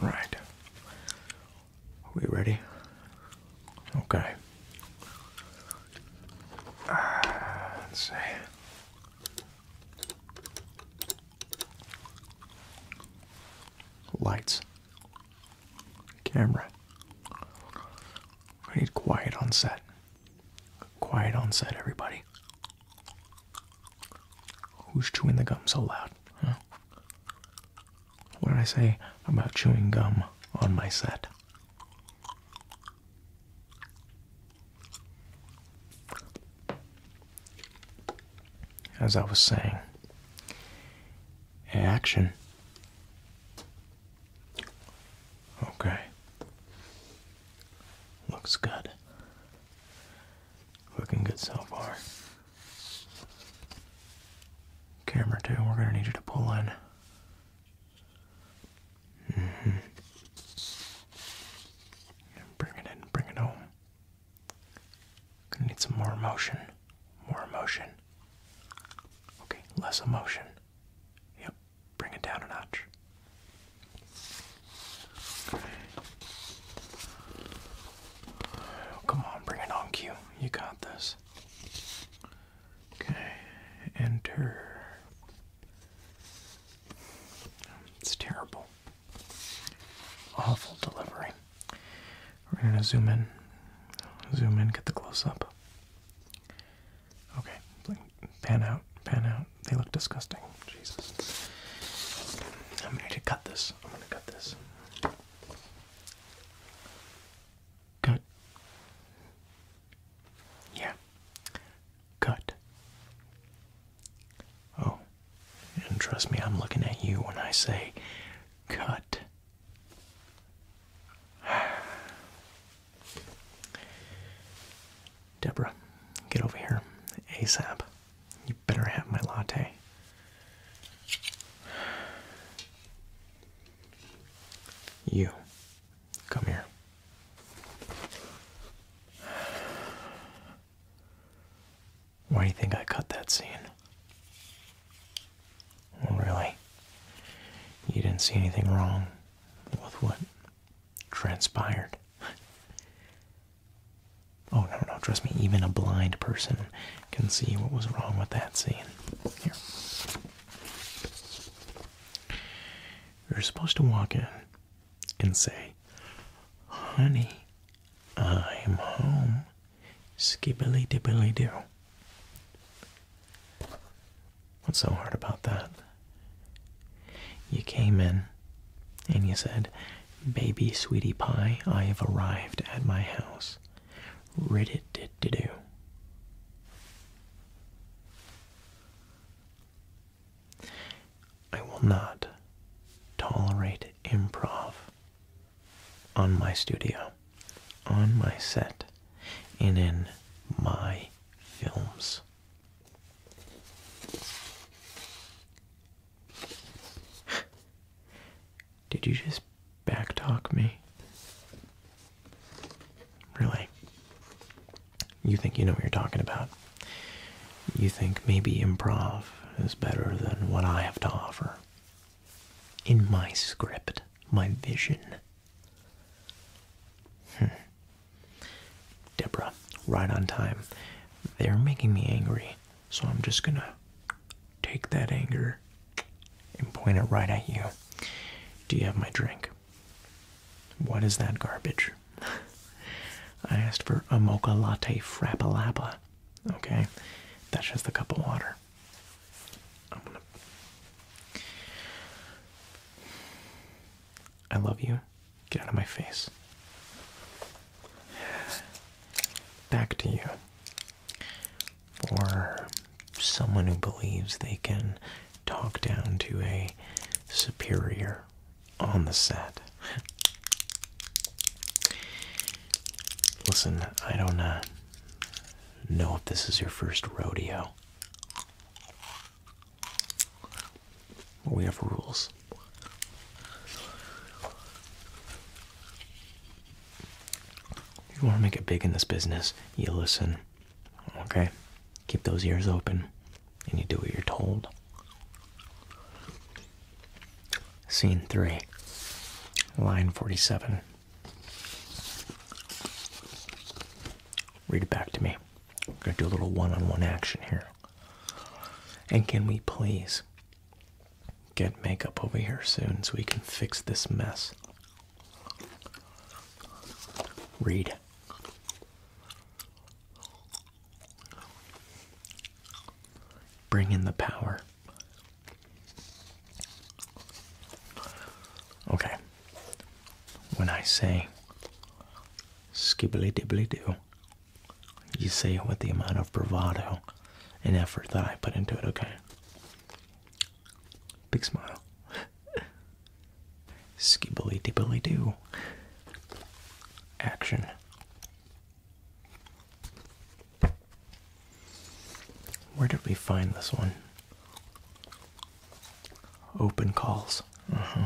All right. Are we ready? Okay. Ah, let's see. Lights. Camera. I need quiet on set. Quiet on set, everybody. Who's chewing the gum so loud? Huh? What did I say about chewing gum on my set? As I was saying, action Okay. Looks good. Looking good so far. Camera two, we're gonna need you to pull in. Mm -hmm. Bring it in, it home. Gonna need some more emotion. More emotion. Okay, less emotion. Yep, bring it down a notch. Oh, come on, bring it on, Q. You got this. Okay, enter. It's terrible. Awful delivery. We're gonna zoom in. Zoom in, get the close up. Okay, pan out, pan out. They look disgusting. Jesus. I'm going to cut this. I'm going to cut this. Cut. Yeah. Cut. Oh, and trust me, I'm looking at you when I say cut. Debra, get over here ASAP. You better have my latte. You, come here. Why do you think I cut that scene? really? You didn't see anything wrong with what transpired. Oh, no, no, trust me, even a blind person can see what was wrong with that scene. Here. You're supposed to walk in and say, Honey, I'm home. Skibbily dibbily do. What's so hard about that? You came in and you said, Baby sweetie pie, I have arrived at my house. Rid it I will not tolerate improv on my studio, on my set, and in my films. Did you just backtalk me? Really? You think you know what you're talking about? You think maybe improv is better than what I have to offer? In my script, my vision, Hmm. Debra, right on time. They're making me angry, so I'm just gonna take that anger and point it right at you. Do you have my drink? What is that garbage? I asked for a mocha latte frappalappa. Okay, that's just a cup of water. I love you. Get out of my face. Back to you. For someone who believes they can talk down to a superior on the set. Listen, I don't uh, know if this is your first rodeo we have rules. If you want to make it big in this business, you listen. Okay? Keep those ears open and you do what you're told. Scene 3, line 47. Read it back to me. I'm going to do a little one on one action here. And can we please get makeup over here soon so we can fix this mess? Read. Bring in the power. Okay, when I say skibbly dibbly doo, you say it with the amount of bravado and effort that I put into it, okay? Big smile. skibbly dibbly doo. Action. Where did we find this one? Open calls. Mm-hmm.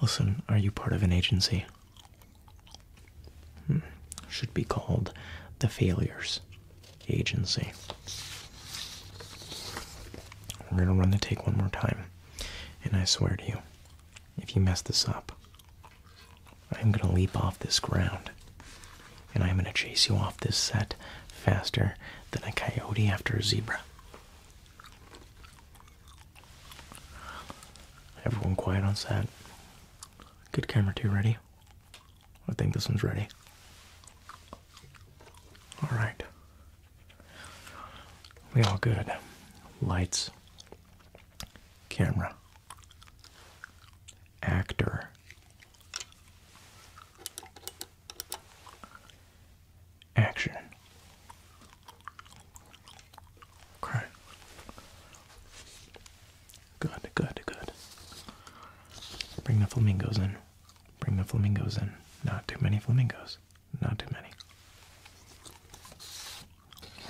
Listen, are you part of an agency? Hmm. Should be called the Failures Agency. We're gonna run the take one more time. And I swear to you, if you mess this up, I'm gonna leap off this ground. And I'm gonna chase you off this set faster than a coyote after a zebra. Everyone quiet on set. Good camera too. ready. I think this one's ready. Alright. We all good. Lights. Camera. Actor. Action. Good, good, good. Bring the flamingos in. Bring the flamingos in. Not too many flamingos. Not too many.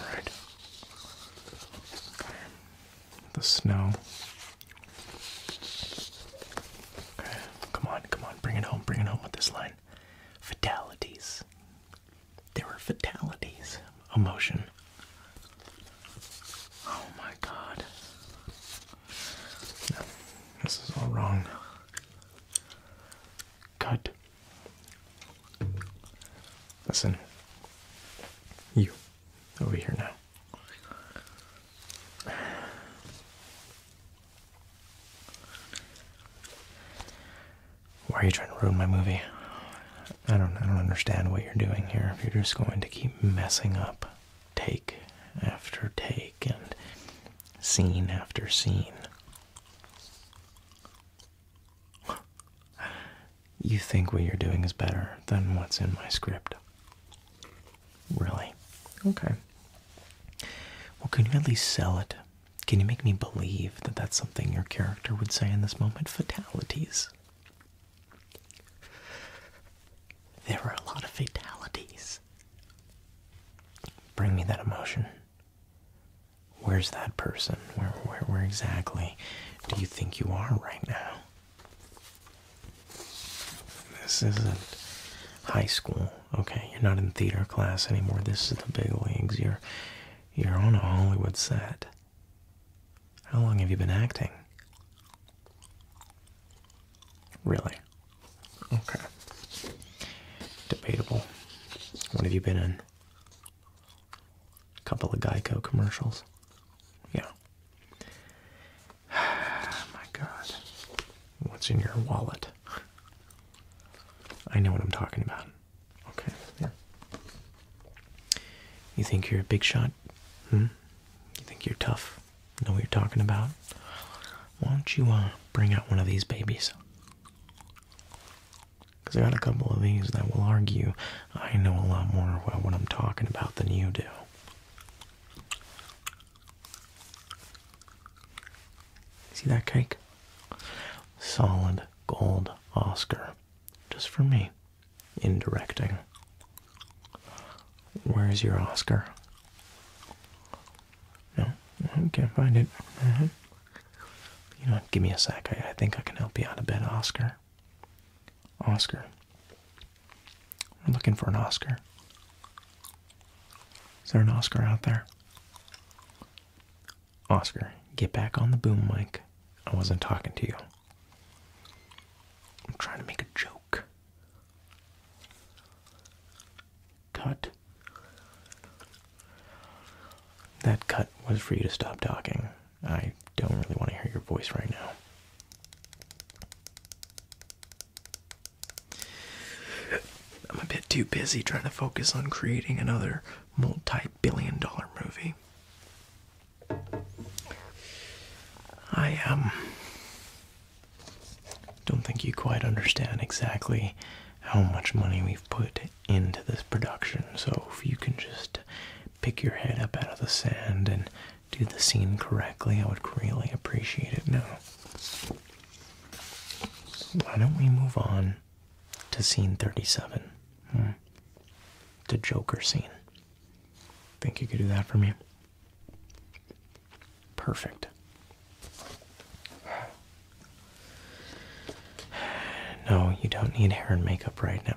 Alright. The snow come on, come on, bring it home, bring it home with this line. Fatalities. There were fatalities. Emotion. Oh my god. No, this is all wrong. Cut. Listen. You. Over here now. Why are you trying to ruin my movie? I don't I don't understand what you're doing here. you're just going to keep messing up take after take and scene after scene. You think what you're doing is better than what's in my script. Really? Okay. Well, can you at least sell it? Can you make me believe that that's something your character would say in this moment? Fatalities. There are a lot of fatalities. Bring me that emotion. Where's that person? Where, where, where exactly do you think you are right now? This isn't high school. Okay, you're not in theater class anymore. This is the big leagues. You're you're on a Hollywood set. How long have you been acting? Really? Okay. Debatable. What have you been in? A couple of Geico commercials. Yeah. My God. What's in your wallet? I know what I'm talking about. Okay, yeah. You think you're a big shot? Hmm? You think you're tough? Know what you're talking about? Why don't you uh, bring out one of these babies? Because I got a couple of these that will argue I know a lot more about what I'm talking about than you do. See that cake? Solid gold Oscar. Just for me. In directing. Where's your Oscar? No? Can't find it. Mm-hmm. You know, give me a sec. I, think I can help you out of bed, Oscar. Oscar. I'm looking for an Oscar. Is there an Oscar out there? Oscar, get back on the boom mic. I wasn't talking to you. I'm trying to make a joke. Cut. That cut was for you to stop talking. I don't really want to hear your voice right now. I'm a bit too busy trying to focus on creating another multi billion dollar movie. I, um, don't think you quite understand exactly how much money we've put into this production, so if you can just pick your head up out of the sand and do the scene correctly, I would really appreciate it now. Why don't we move on to scene 37? Hmm. The Joker scene. Think you could do that for me? Perfect. No, you don't need hair and makeup right now.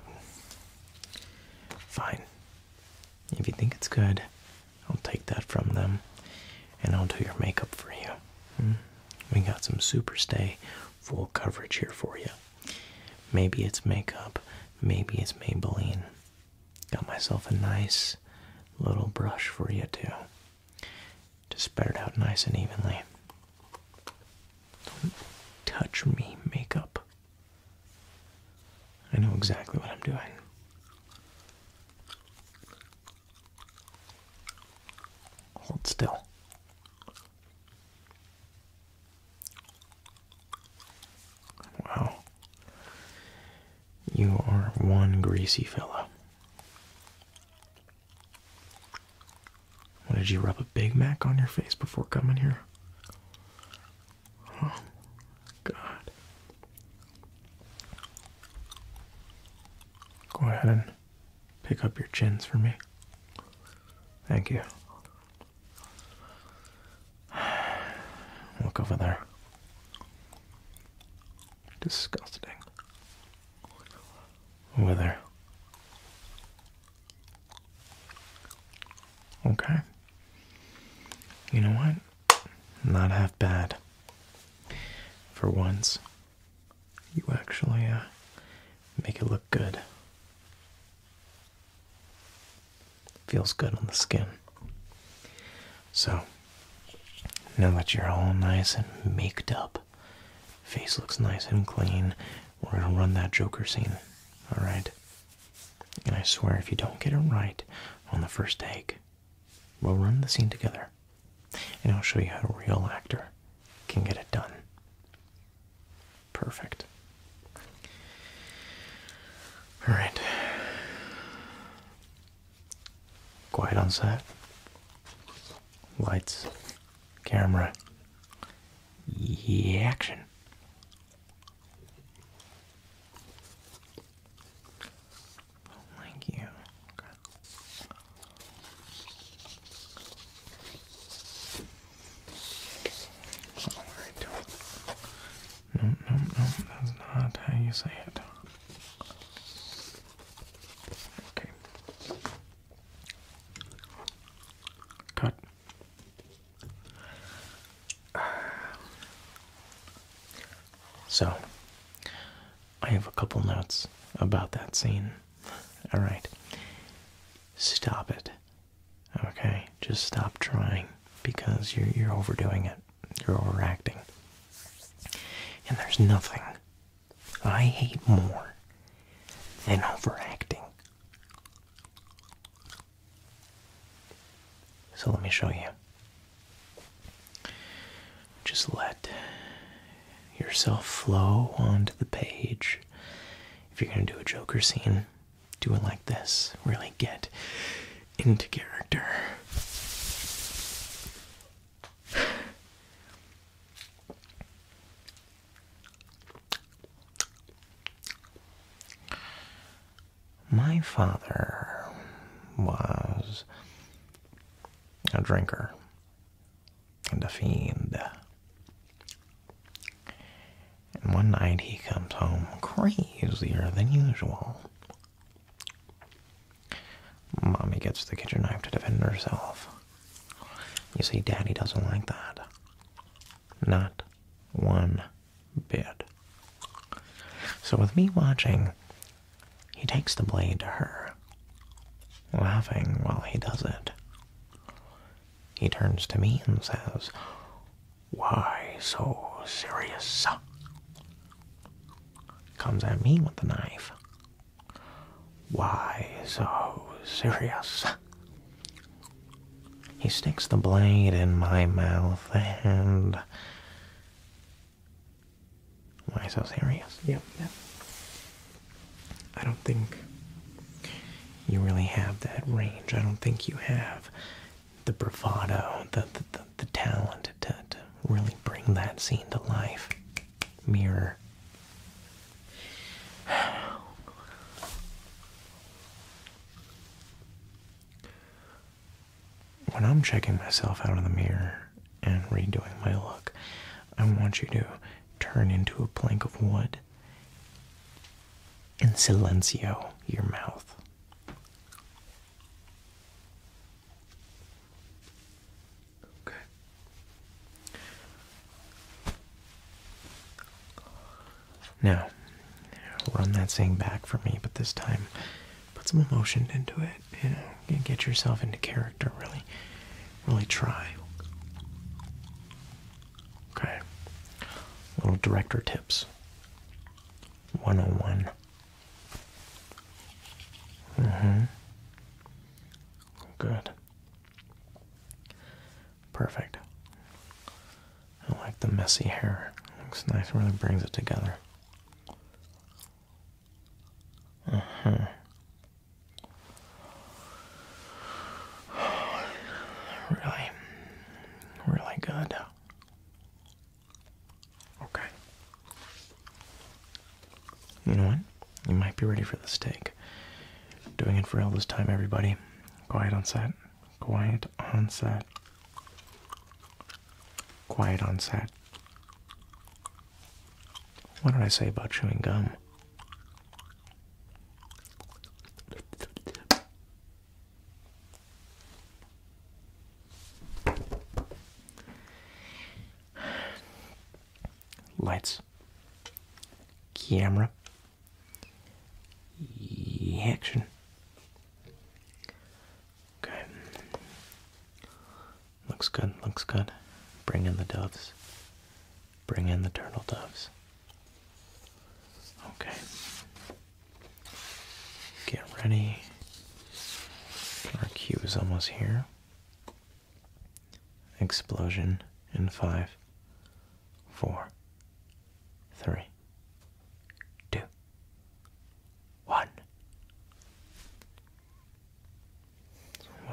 Fine. If you think it's good, I'll take that from them and I'll do your makeup for you. Hmm? We got some super stay, full coverage here for you. Maybe it's makeup, maybe it's Maybelline. Got myself a nice little brush for you too. Just spread it out nice and evenly. Don't touch me, makeup. I know exactly what I'm doing. Hold still. Wow. You are one greasy fellow. did you rub a Big Mac on your face before coming here? Oh, God. Go ahead and pick up your chins for me. Thank you. Look over there. Disgusting. Over there. Okay. You know what? Not half bad. For once, you actually uh, make it look good. Feels good on the skin. So, now that you're all nice and maked up, face looks nice and clean, we're gonna run that Joker scene. Alright? And I swear, if you don't get it right on the first take, we'll run the scene together. And I'll show you how a real actor can get it done. Perfect. Alright. Quiet on set. Lights. Camera. action. Oh, thank you. All right. No, no, no, that's not how you say it. Okay. Cut. So, I have a couple notes about that scene. All right. Stop it. Okay, just stop trying because you're you're overdoing it. You're overacting. And there's nothing I hate more than overacting. So let me show you. Just let yourself flow onto the page. If you're going to do a Joker scene, do it like this. Really get into character. My father was a drinker and a fiend. And one night he comes home crazier than usual. Mommy gets the kitchen knife to defend herself. You see, Daddy doesn't like that. Not one bid. So, with me watching, he takes the blade to her, laughing while he does it. He turns to me and says, Why so serious? Comes at me with the knife. Why so serious? He sticks the blade in my mouth and. Why so serious? Yep, yep. I don't think you really have that range. I don't think you have the bravado, the, the, talent to really bring that scene to life. Mirror when I'm checking myself out in the mirror and redoing my look, I want you to turn into a plank of wood and silencio your mouth. Okay. Now, run that thing back for me, but this time put some emotion into it. You know, get yourself into character. Really, really try. Okay. Little director tips. 101. Mm-hmm. Good. Perfect. I like the messy hair. looks nice, really brings it together. Uh -huh. Really, really good. Okay. You know what? You might be ready for the steak. Doing it for Elvis time, everybody. Quiet on set. Quiet on set. Quiet on set. What did I say about chewing gum? Lights, camera, action. Okay. Looks good, looks good. Bring in the doves. Bring in the turtle doves. Okay. Get ready. Our cue is almost here. Explosion in five, four, three, two, one.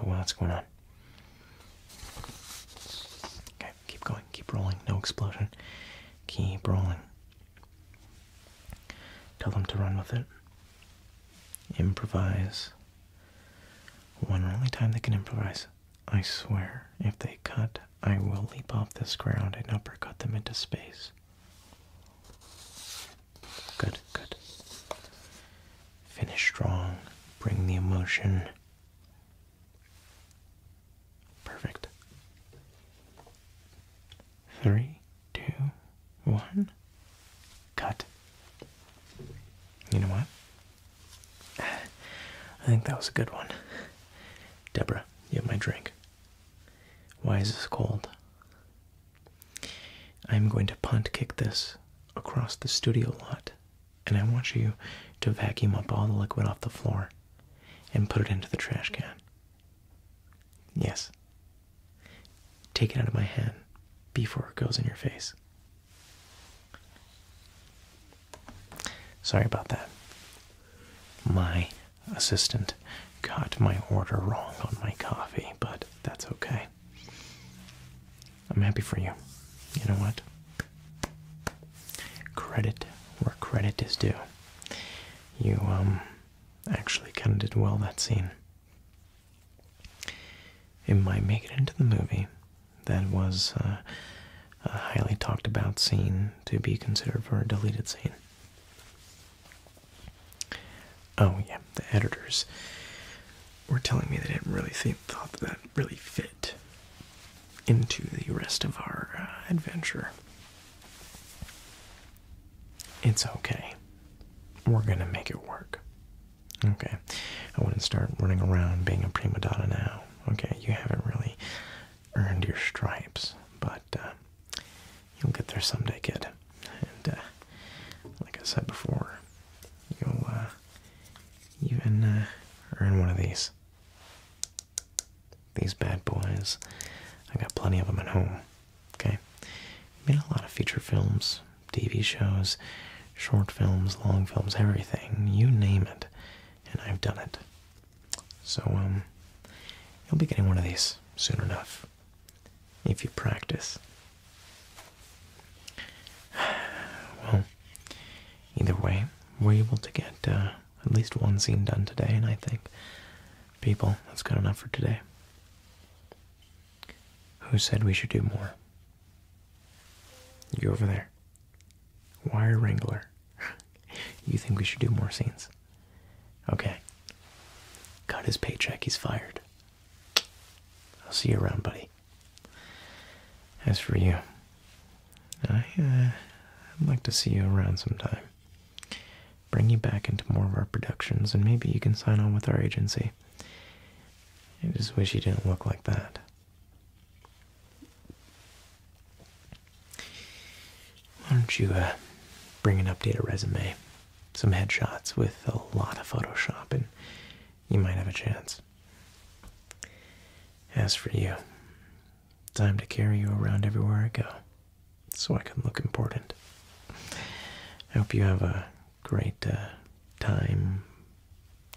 What's going on? Okay, keep going, keep rolling, no explosion. Keep rolling. Tell them to run with it. Improvise. One only time they can improvise. I swear, if they cut I will leap off this ground and uppercut them into space. Good, good. Finish strong. Bring the emotion. Perfect. Three, two, one. Cut. You know what? I think that was a good one. Debra, you have my drink. Why is this cold? I am going to punt kick this across the studio lot, and I want you to vacuum up all the liquid off the floor and put it into the trash can. Yes. Take it out of my hand before it goes in your face. Sorry about that. My assistant got my order wrong on my coffee, but that's okay. I'm happy for you. You know what? Credit where credit is due. You, um, actually kind of did well that scene. It might make it into the movie. That was uh, a highly talked about scene to be considered for a deleted scene. Oh, yeah, the editors were telling me they didn't really think, thought that, that really fit into the rest of our uh, adventure. It's okay. We're gonna make it work. Okay, I wouldn't start running around being a prima donna now. Okay, you haven't really earned your stripes, but uh, you'll get there someday, kid. And uh, like I said before, you'll uh, even earn one of these. These bad boys. I got plenty of them at home. Okay, made a lot of feature films, TV shows, short films, long films, everything. You name it, and I've done it. So, um, you'll be getting one of these soon enough if you practice. Well, either way, we're able to get uh, at least one scene done today, and I think, people, that's good enough for today. Who said we should do more? You over there. Wire Wrangler. you think we should do more scenes? Okay. Cut his paycheck, he's fired. I'll see you around, buddy. As for you, I, uh, I'd like to see you around sometime. Bring you back into more of our productions, and maybe you can sign on with our agency. I just wish you didn't look like that. Why don't you uh, bring an updated resume, some headshots with a lot of Photoshop, and you might have a chance. As for you, time to carry you around everywhere I go so I can look important. I hope you have a great uh, time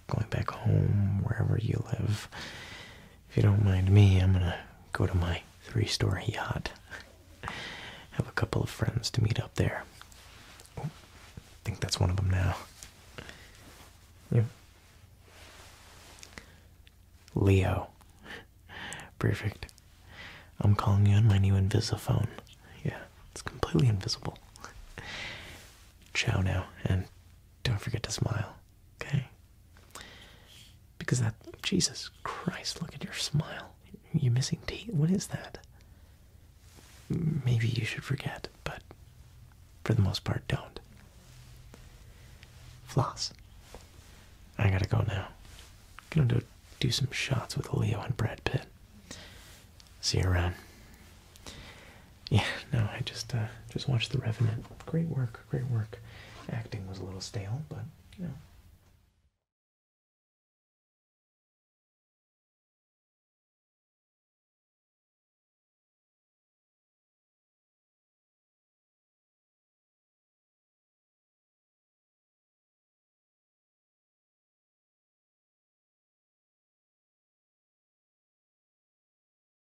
going back home, wherever you live if you don't mind me, I'm gonna go to my three story yacht. Have a couple of friends to meet up there. Oh, think that's one of them now. Yeah. Leo. Perfect. I'm calling you on my new Invisiphone. Yeah, it's completely invisible. Ciao now, and don't forget to smile. Okay? Because that, Jesus Christ, look at your smile. You're missing teeth. What is that? Maybe you should forget, but for the most part, don't. Floss. I gotta go now. Gonna do some shots with Leo and Brad Pitt. See you around. Yeah, no, I just uh, just watched The Revenant. Great work, great work. Acting was a little stale, but you know.